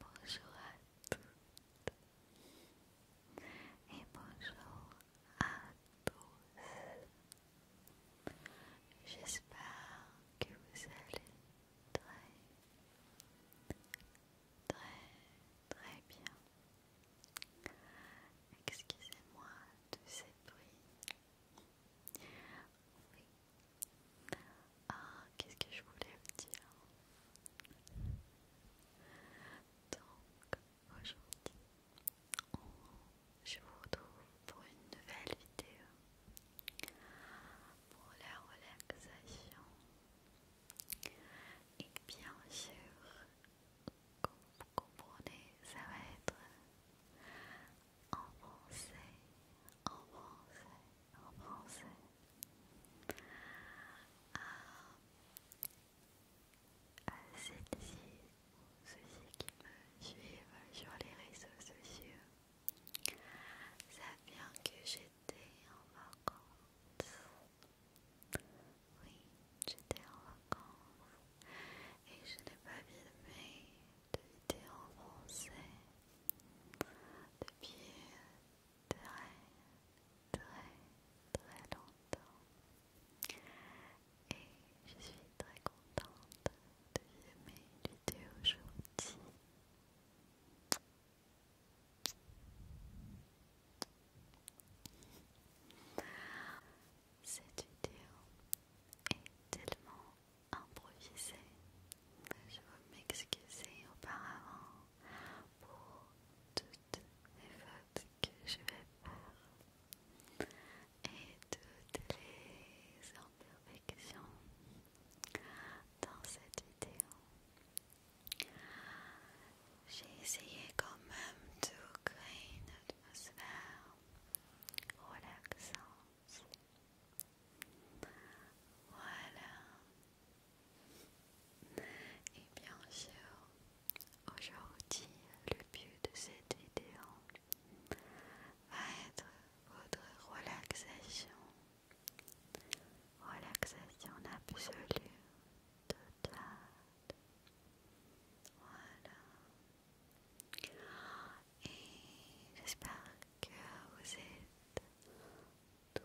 Bonjour à toutes et bonjour à tous. J'espère que vous allez très, très, très bien. Excusez-moi de ces bruits oui. Ah, qu'est-ce que je voulais vous dire Donc, aujourd'hui, je vous retrouve pour une nouvelle vidéo pour la relaxation. Et bien sûr, comme vous comprenez, ça va être en français, en français, en français. Ah, à, ceux ci ou ceux qui me suivent sur les réseaux sociaux Ça bien que j'étais en vacances. Oui, j'étais en vacances et je n'ai pas filmé de vidéos en français depuis très très très longtemps et je suis très contente de filmer une vidéo aujourd'hui. Cette vidéo est tellement improvisé. Je veux m'excuser auparavant pour toutes les fautes que je vais faire et toutes les imperfections dans cette vidéo. J'ai essayé quand même de créer une atmosphère relaxante voilà. Et eh bien sûr, aujourd'hui, le but de cette vidéo va être votre relaxation. Relaxation absolue, totale. Voilà et j'espère que vous êtes tous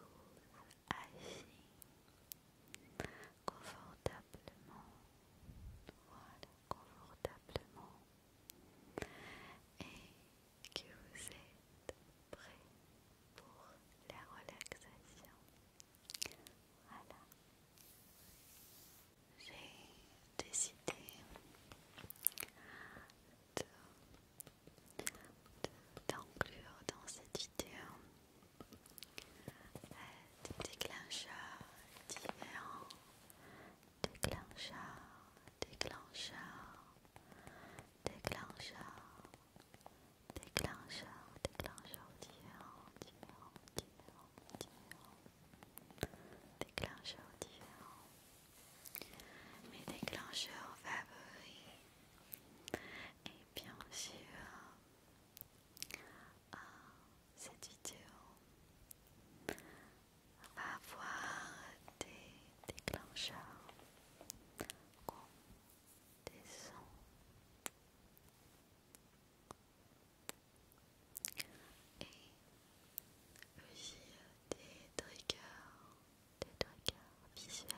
agis confortablement, voilà, confortablement, et que vous êtes prêts pour la relaxation. Voilà. J'ai décidé de d'inclure dans cette vidéo euh, des déclencheurs différents, déclencheurs, déclencheurs, déclencheurs, déclencheurs, déclencheurs différents, différents, différents, différents, déclencheurs différents mes déclencheurs favoris et bien sûr à cette vidéo va avoir des déclencheurs comme des sons et aussi euh, des triggers des visuels.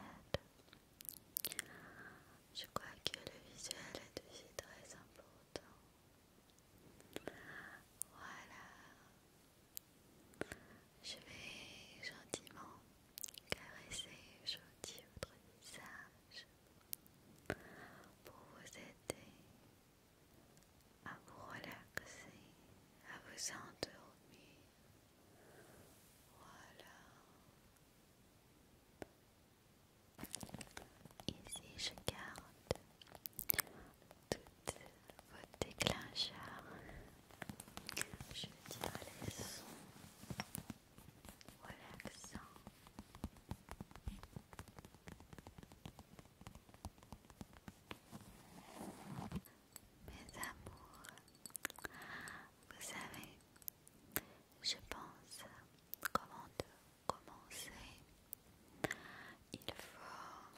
Je crois que le visuel est aussi très important. Voilà. Je vais gentiment caresser aujourd'hui votre visage pour vous aider à vous relaxer, à vous endormir. Voilà. Ici, je garde toutes vos déclencheurs. Je tire les sons relaxants mes amours. Vous savez, je pense comment commencer. Il faut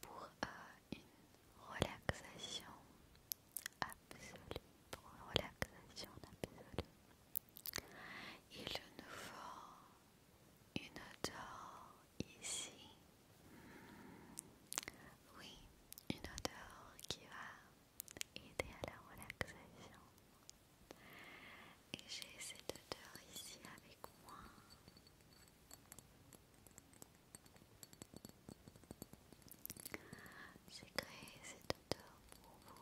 pour euh, une relaxation absolue, pour une relaxation absolue, il nous faut une odeur ici. Oui, une odeur qui va aider à la relaxation. Et j'ai cette odeur ici avec moi. J'ai créé cette odeur pour vous.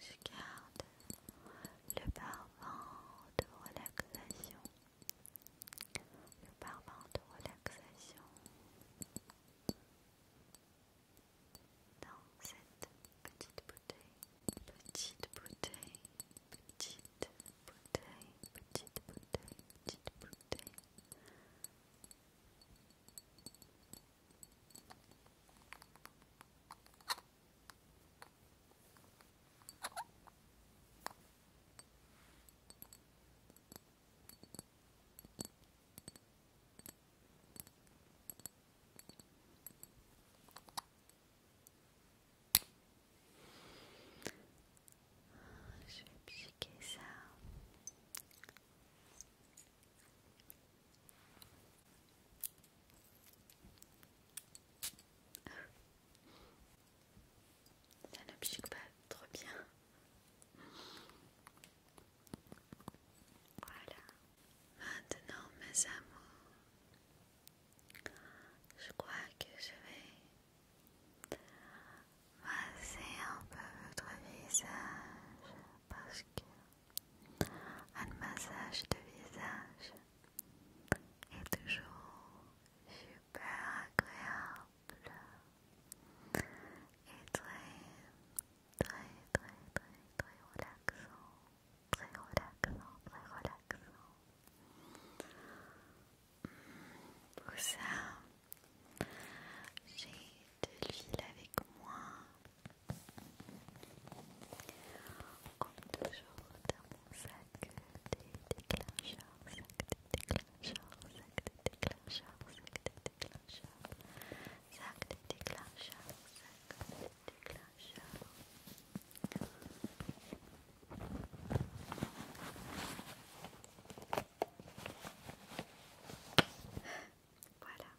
Je garde le parfum de relaxation. Le parfum de relaxation dans cette petite bouteille. Petite bouteille, petite bouteille, petite bouteille, petite bouteille. Je vais piquer ça. Ça ne n'oblige pas trop bien. Voilà. Maintenant, mes amours, je crois que je vais Massez un peu votre visage parce que un massage de visage est toujours super agréable et très très très très très relaxant, très relaxant, très relaxant. Pour ça, j'ai de l'huile avec moi. Comme toujours dans mon sac des déclencheurs, sac des déclencheurs, sac des déclencheurs, sac des déclencheurs, sac des déclencheurs, sac des déclencheurs. Voilà.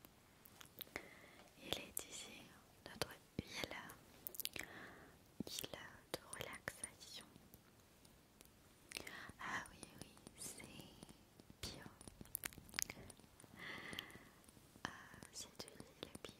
Il est ici notre île, de relaxation. Ah oui, oui, c'est bio. Ah, c'est de bio.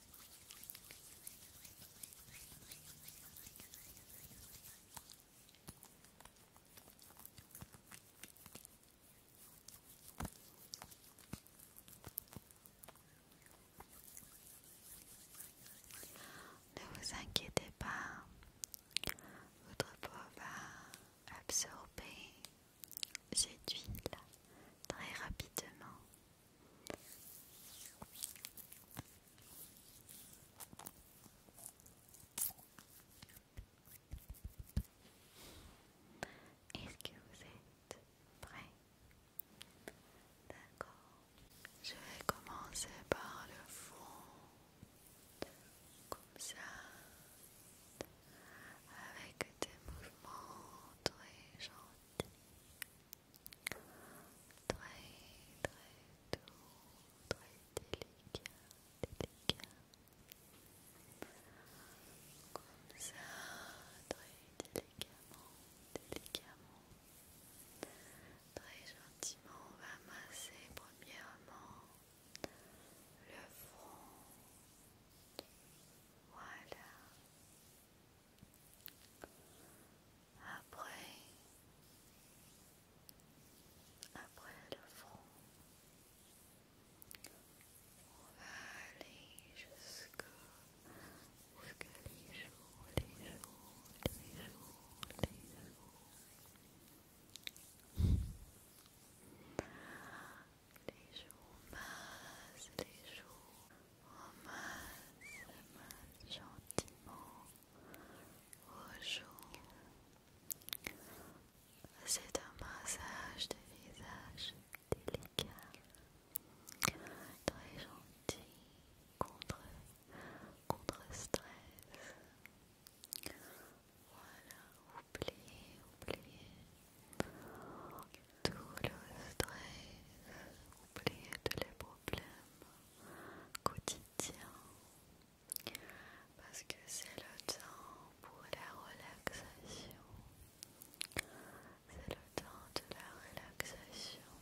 Ne vous inquiétez pas, votre peau va absorber cette huile très rapidement est-ce que vous êtes prêts D'accord. Je vais commencer par le fond, comme ça, avec des mouvements très gentils très très doux, très délicat, délicat, comme ça, très délicatement, délicatement, très gentiment, on va masser premièrement le front, voilà après, après le front, on va aller jusqu'à que les jours, les jours, les jours, les jours, Les jours les jours. On masse gentiment au C'est un massage de visage délicat, très gentil contre, contre stress. Voilà, oubliez, oubliez tout le stress, oubliez tous les problèmes quotidiens parce que c'est le temps pour la relaxation. C'est le temps de la relaxation.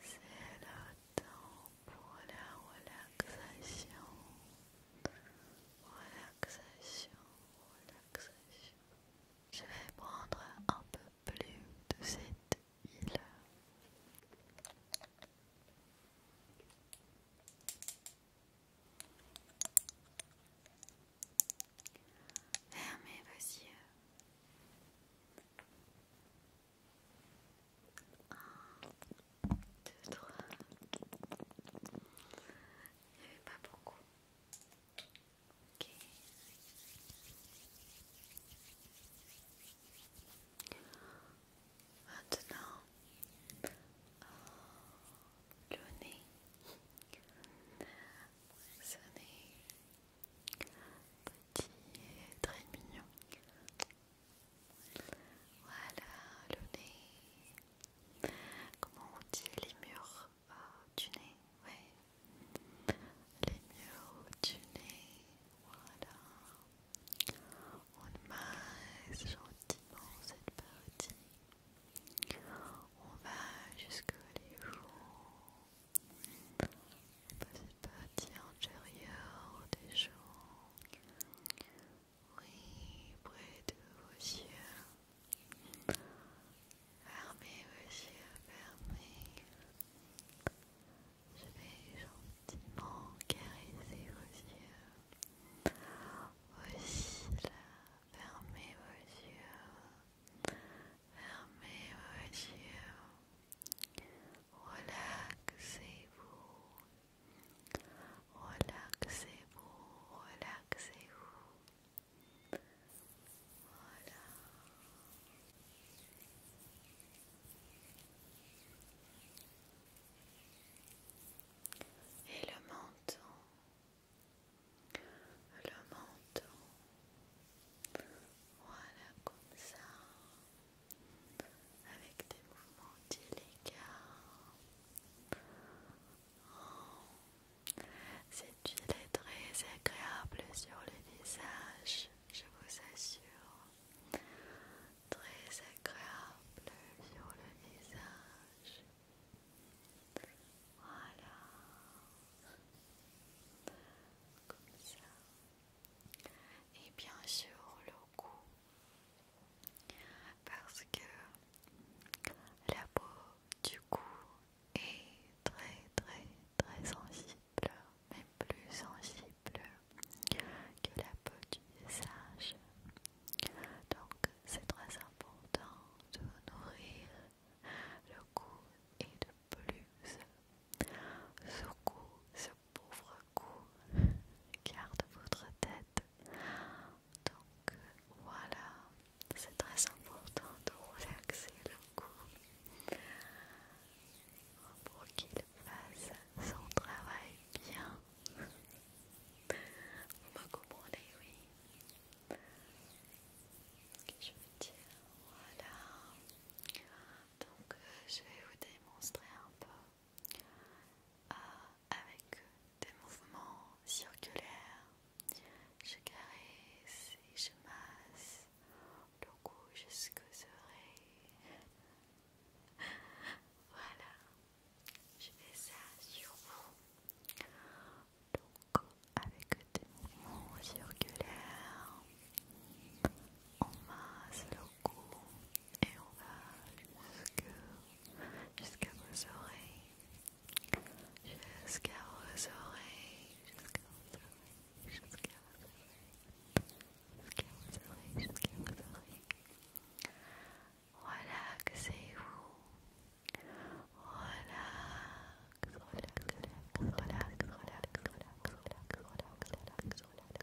C'est le temps pour la relaxation. Relaxation, relaxation. Je vais prendre un peu plus de cette huile. Fermez vos yeux. Un, deux, trois. Il n'y avait pas beaucoup. Maintenant, le nez. Ce nez petit et très mignon. Voilà le nez. Comment on dit les murs murs du nez, ouais. Les murs du nez, voilà. On masse gentiment cette partie. On va jusque les joues. cette partie antérieure des joues. Oui, près de vos yeux. Fermez vos yeux, fermez. Je vais gentiment caresser vos yeux. Aussi là, fermez vos yeux. Fermez vos yeux. Relaxez-vous. Relaxez-vous, relaxez-vous. Voilà. Et le menton, le menton, voilà comme ça, avec des mouvements délicats. Cette huile est très agréable sur le visage, je vous assure. Très agréable sur le visage. Voilà. Comme ça. Et bien sûr le cou. Parce que la peau du cou est très très très sensible, mais plus sensible que la peau du visage. Donc c'est très important de nourrir le cou et de plus ce cou, ce pauvre cou, garde votre tête. Donc voilà, c'est très important de relaxer le cou pour qu'il fasse son travail bien. Vous me comprenez, oui. Je veux dire, voilà. Donc, euh, je vais vous démontrer un peu euh, avec des mouvements circulaires je caresse et je masse le cou jusqu'aux oreilles. Voilà, je fais ça sur vous. Donc, avec des mouvements circulaires, on masse le cou et on va jusqu'à vos oreilles. Jusqu'à vos jusqu'à vos jusqu'à vos jusqu'à vos jusqu'à vos Relaxez-vous. relax, relax, relax, relax, relax, relax, relax, relax.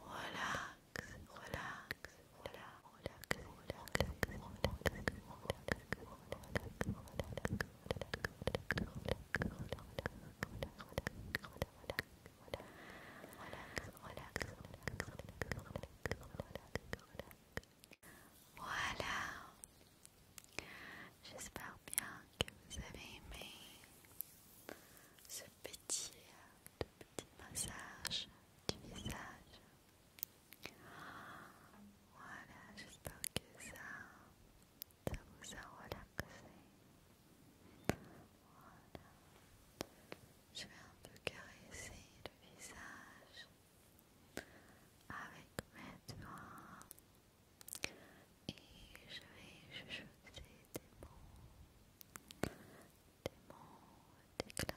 Relax, relax, relax, Voilà. J'espère bien que vous avez aimé ce petit, euh, petit massage du visage. Voilà, j'espère que ça, vous a relaxé. Voilà. Je vais un peu caresser le visage avec mes doigts et je vais chuchoter des mots, des mots, des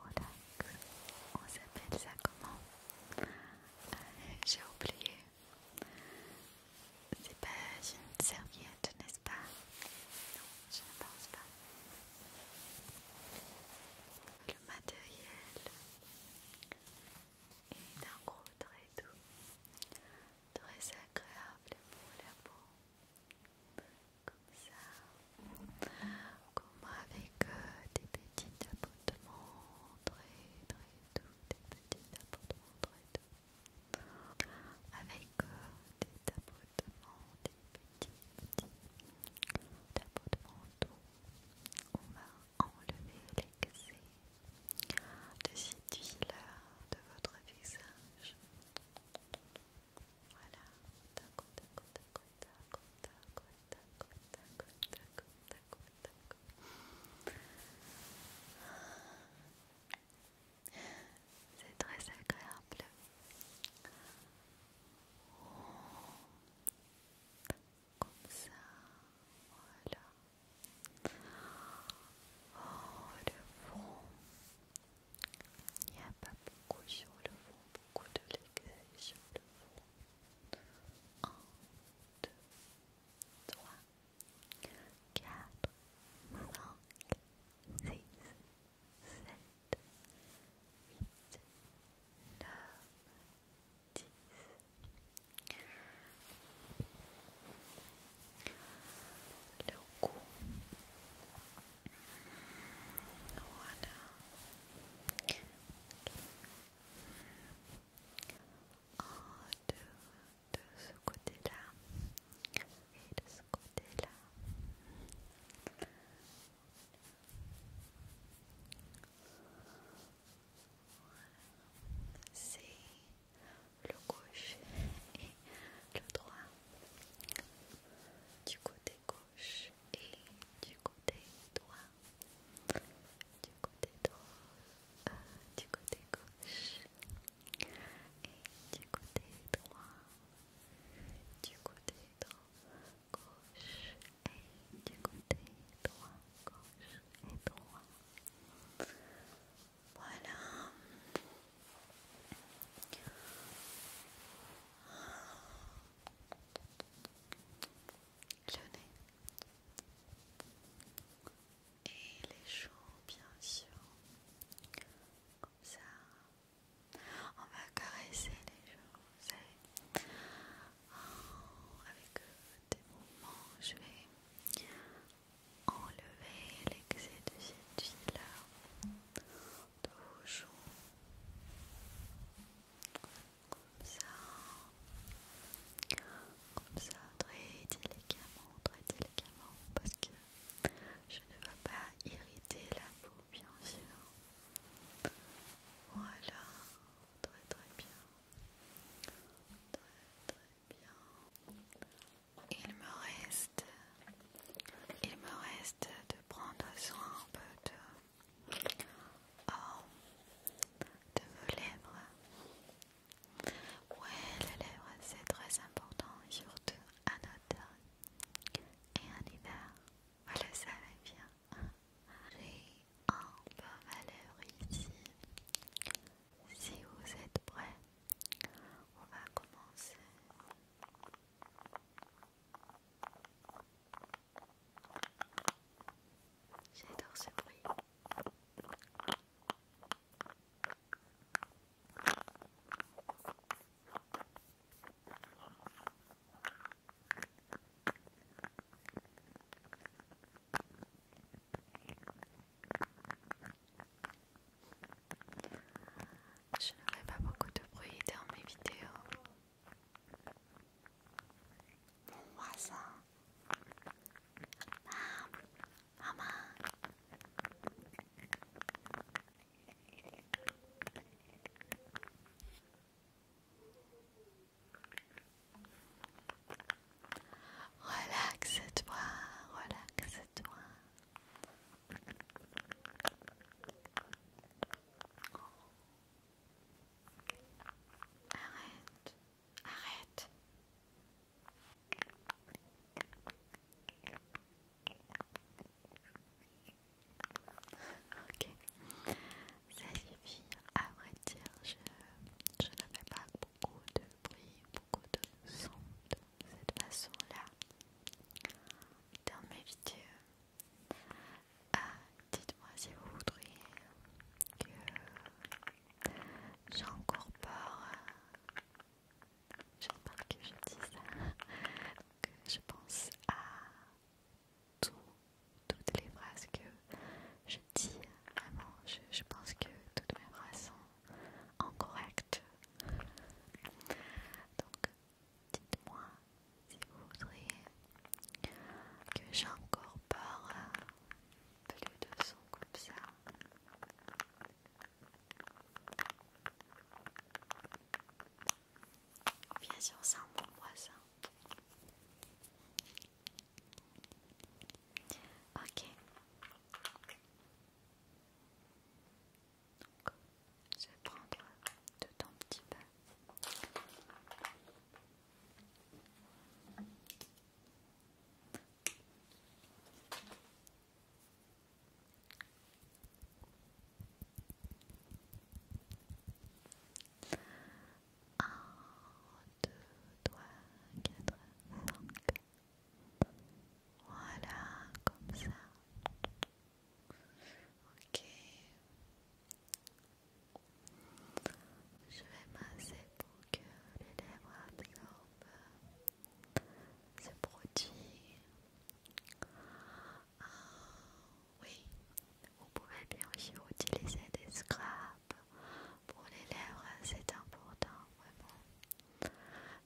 voilà On s'appelle ça comment euh, J'ai oublié. C'est pas une serviette, n'est-ce pas Non, je ne pense pas. Le matériel est d'un gros très doux, très agréable pour la comme ça, comme avec euh, des petits tapotements très très doux, des petits tapotements très doux, avec euh, des tapotements, des petits petits tapotements doux, on va enlever l'excès de cette huile de votre visage. Voilà, tac, tac, tac, tac, tac, tac, tac, tac, tac, tac. C'est très agréable. Comme ça, voilà. Oh, le front. Il n'y a pas beaucoup sur le fond, beaucoup de l'écueil sur le fond. 1, deux, trois, quatre, cinq, six, sept, huit, neuf, dix. Le de, de ce côté-là et de ce côté-là. C'est le gauche et le droit. Du côté gauche et du côté droit. Du côté droit, euh, du côté gauche et du côté droit. Du côté droit, gauche et du côté droit, gauche et droit. Voilà le nez et les joues bien sûr comme ça on va caresser les joues oh, avec euh, des mouvements je vais enlever l'excès de cette huile comme ça. Comme ça, très délicatement, très délicatement, parce que je ne veux pas irriter la peau, bien sûr. Voilà, très très bien. Très très bien. Il me reste, il me reste de prendre soin un peu oh, de, vos lèvres. Ouais, les lèvres c'est très important, surtout en automne et en hiver. Vous le savez bien. J'ai un peu à lèvre ici. Si vous êtes prêts, on va commencer. J'adore ce bruit. Je n'aurai pas beaucoup de bruit dans mes vidéos. Mon voisin. maman. Relaxe-toi, relaxe-toi. Arrête, arrête. Ok, ça suffit. À vrai dire, je, je ne fais pas beaucoup de bruit, beaucoup de son de cette façon-là dans mes vidéos. Euh, dites-moi si vous voudriez que j'incorpore. Euh, je que je dis ça. je pense à toutes les phrases que je dis. Vraiment, je, pense que toutes mes phrases sont correctes. Donc, Dites-moi si vous voudriez que j'incorpore euh, plus de son comme ça. Bien sûr, c'est un bon voisin. Ok. Donc, je vais prendre tout petit peu. deux, quatre, Voilà, comme ça. Ok. Je vais masser pour que les lèvres absorbent ce produit. Ah, oui, vous pouvez bien aussi utiliser des scraps pour les lèvres, c'est important vraiment.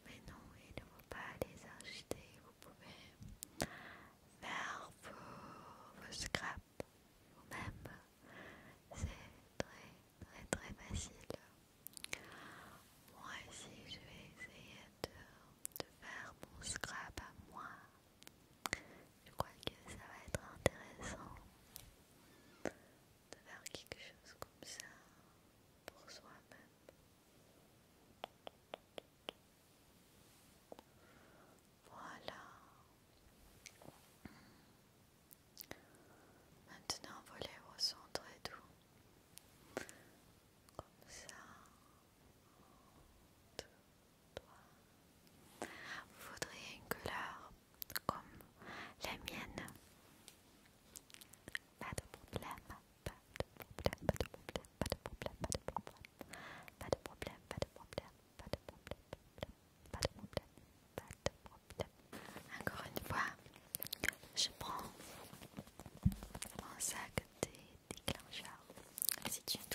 Mais non, il ne faut pas les acheter, vous pouvez faire vos, scrap scraps ou même c'est très très très facile moi ici je vais essayer de faire mon scrap à moi je crois que ça va être intéressant de faire quelque chose comme ça pour soi-même. Voilà. Maintenant, au centre et tout. Comme ça. Vous voudriez une couleur comme la mienne. Pas de problème. Pas de problème, pas de problème, pas de problème, pas de problème, pas de problème, pas de problème, pas de problème, pas de problème, pas de problème. Encore une fois, je prends mon sac des déclencheurs. je déclencheurs.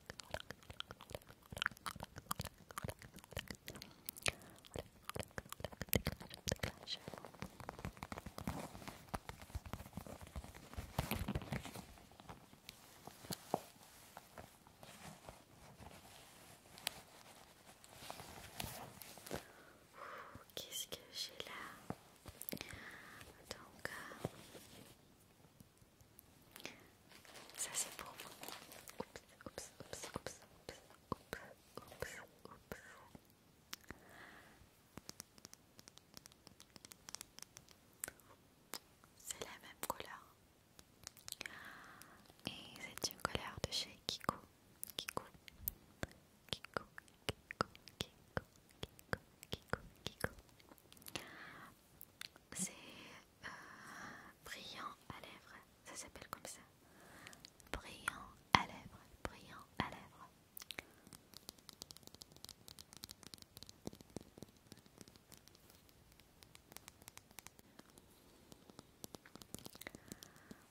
Qu'est-ce que j'ai là Donc, euh, ça c'est pour moi. Oups, oups, oups, oups, oups, oups, oups, oups. C'est la même couleur. Et c'est une couleur de chez Kiko. Kiko. Kiko, Kiko, Kiko, Kiko, Kiko, Kiko c'est euh, brillant à lèvres, ça s'appelle comme ça. Brillant à lèvres, brillant à lèvres.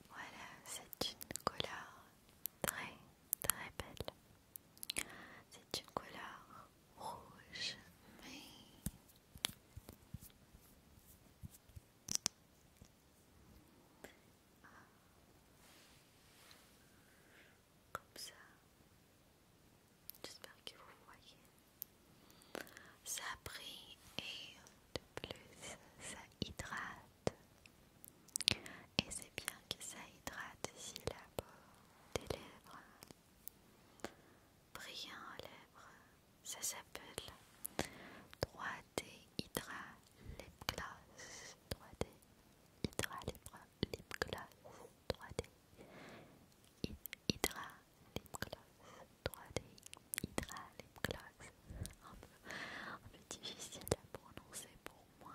Voilà, c'est une couleur très très belle. C'est une couleur rouge, mais comme ça. J'espère que vous voyez. Ça brille et de plus ça hydrate. Et c'est bien que ça hydrate ici la peau des lèvres. Brillant à lèvres, ça s'appelle 3D Hydra Lip Gloss. 3D Hydra Lip Gloss. 3D Hydra Lip Gloss. 3D Hydra Lip Gloss. Un peu, difficile à prononcer pour moi.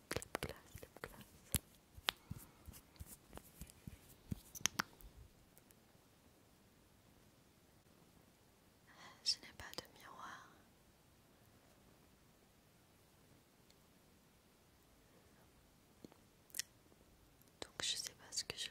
Je n'ai pas de miroir. Donc je sais pas ce que je fais.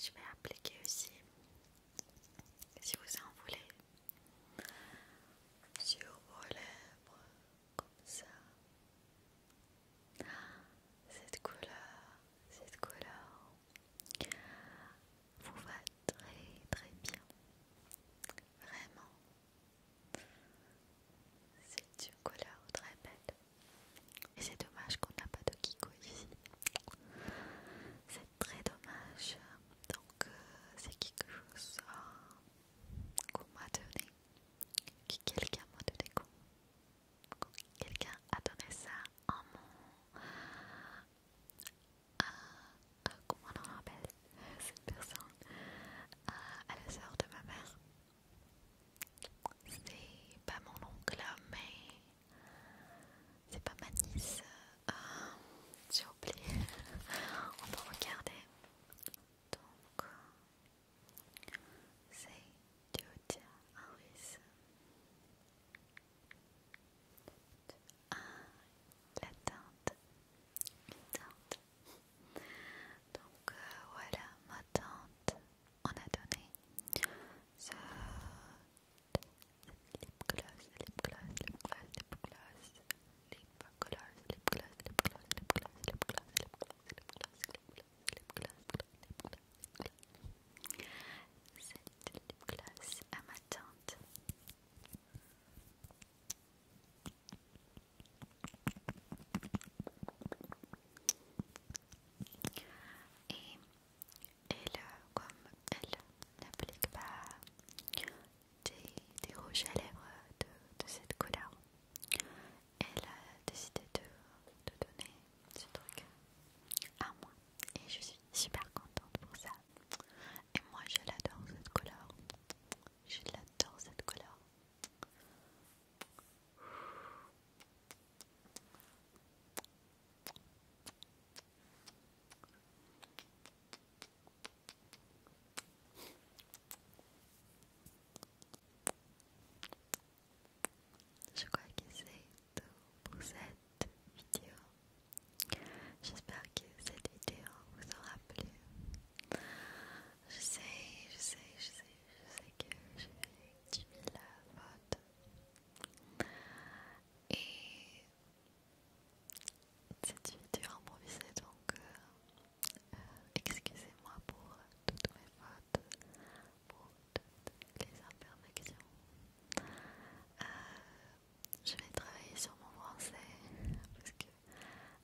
Je vais appliquer aussi, si vous en voulez, sur vos lèvres, comme ça. Cette couleur, cette couleur vous va très très bien. Vraiment. C'est une couleur très belle. Et c'est dommage qu'on n'a pas de Kiko ici. C'est très dommage. Donc euh, c'est quelque chose euh, qu'on m'a donné. Que quelqu'un m'a donné. Quelqu'un a donné ça à euh, mon. comment on appelle cette personne euh, à, la sœur de ma mère. C'est pas mon oncle, mais c'est pas ma nièce J'ai oublié. on peut regarder. Donc, euh, c'est Georgia Henri, c'est la teinte donc voilà ma teinte on a donné cette lip glace à ma tante Et elle, comme elle n'applique pas des, rouges à lèvres de, cette couleur, elle a décidé de, de donner ce truc à moi et je suis super contente pour ça. Et moi je l'adore cette couleur. Je l'adore cette couleur. Je crois que c'est tout pour cette vidéo. J'espère que cette vidéo vous aura plu. Je sais, je sais, je sais, je sais que j'ai fait 10 000 Et cette vidéo improvisée, donc euh, euh, excusez-moi pour toutes mes fautes pour toutes les imperfections. Euh, je vais travailler sur mon français parce que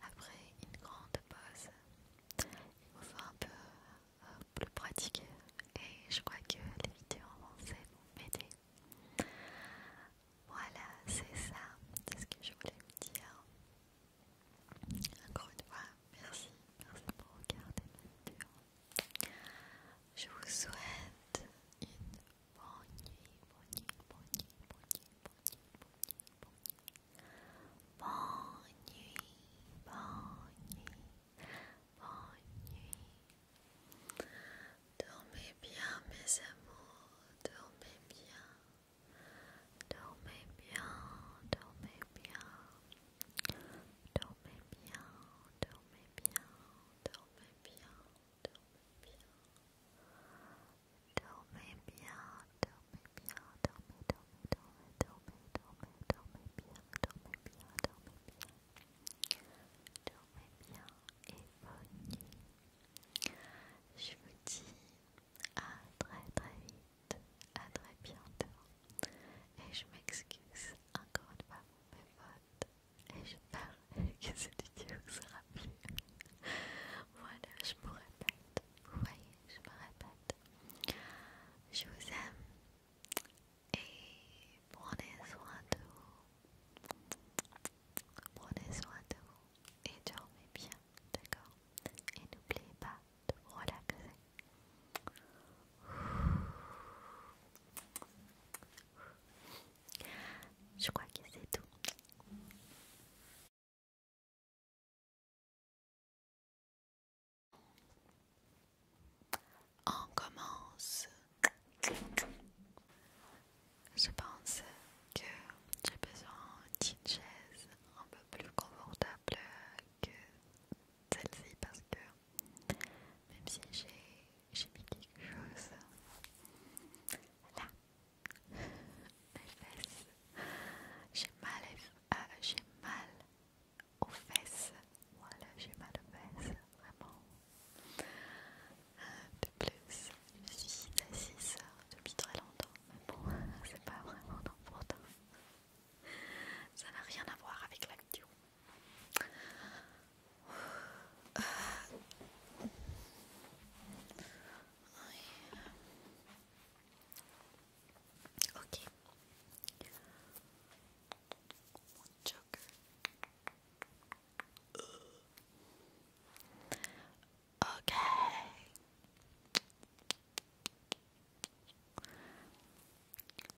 après une grande pause, il me faut un peu euh, plus pratiquer et je crois que les vidéos en français vont m'aider. Voilà, c'est ça, c'est ce que je voulais vous dire. Encore une fois, merci, merci pour regarder ma vidéo. Je vous souhaite une bonne nuit, bonne nuit, bonne nuit, bonne nuit, bonne nuit, bonne nuit, bonne nuit, bonne nuit, Dormez bien, mes amours, dormez bien, dormez bien, dormez bien. Dormez dormez bien, dormez bien, dormez bien, bien. Dormez bien, dormez bien, bien, bien, dormez bien. bien et bonne Je vous dis à très très vite, à très bientôt. Et je m'excuse encore une fois pour mes votes Et je j'espère que cette vidéo vous sera plu. voilà, je me répète. Vous voyez, je me répète. Je vous aime. Et prenez soin de vous. Prenez soin de vous. Et dormez bien, d'accord Et n'oubliez pas de vous relaxer. Je crois que c'est tout. On commence. Je pense que j'ai besoin d'une chaise un peu plus confortable que celle-ci parce que même si j'ai mis quelque chose là, mes fesses. J'ai mal, euh, j'ai mal aux fesses. Voilà, j'ai mal aux fesses, vraiment. Euh, de plus, je suis assise depuis très longtemps, mais bon, c'est pas vraiment important. Ça n'a rien à voir avec la vidéo. Euh. Ok. Ok.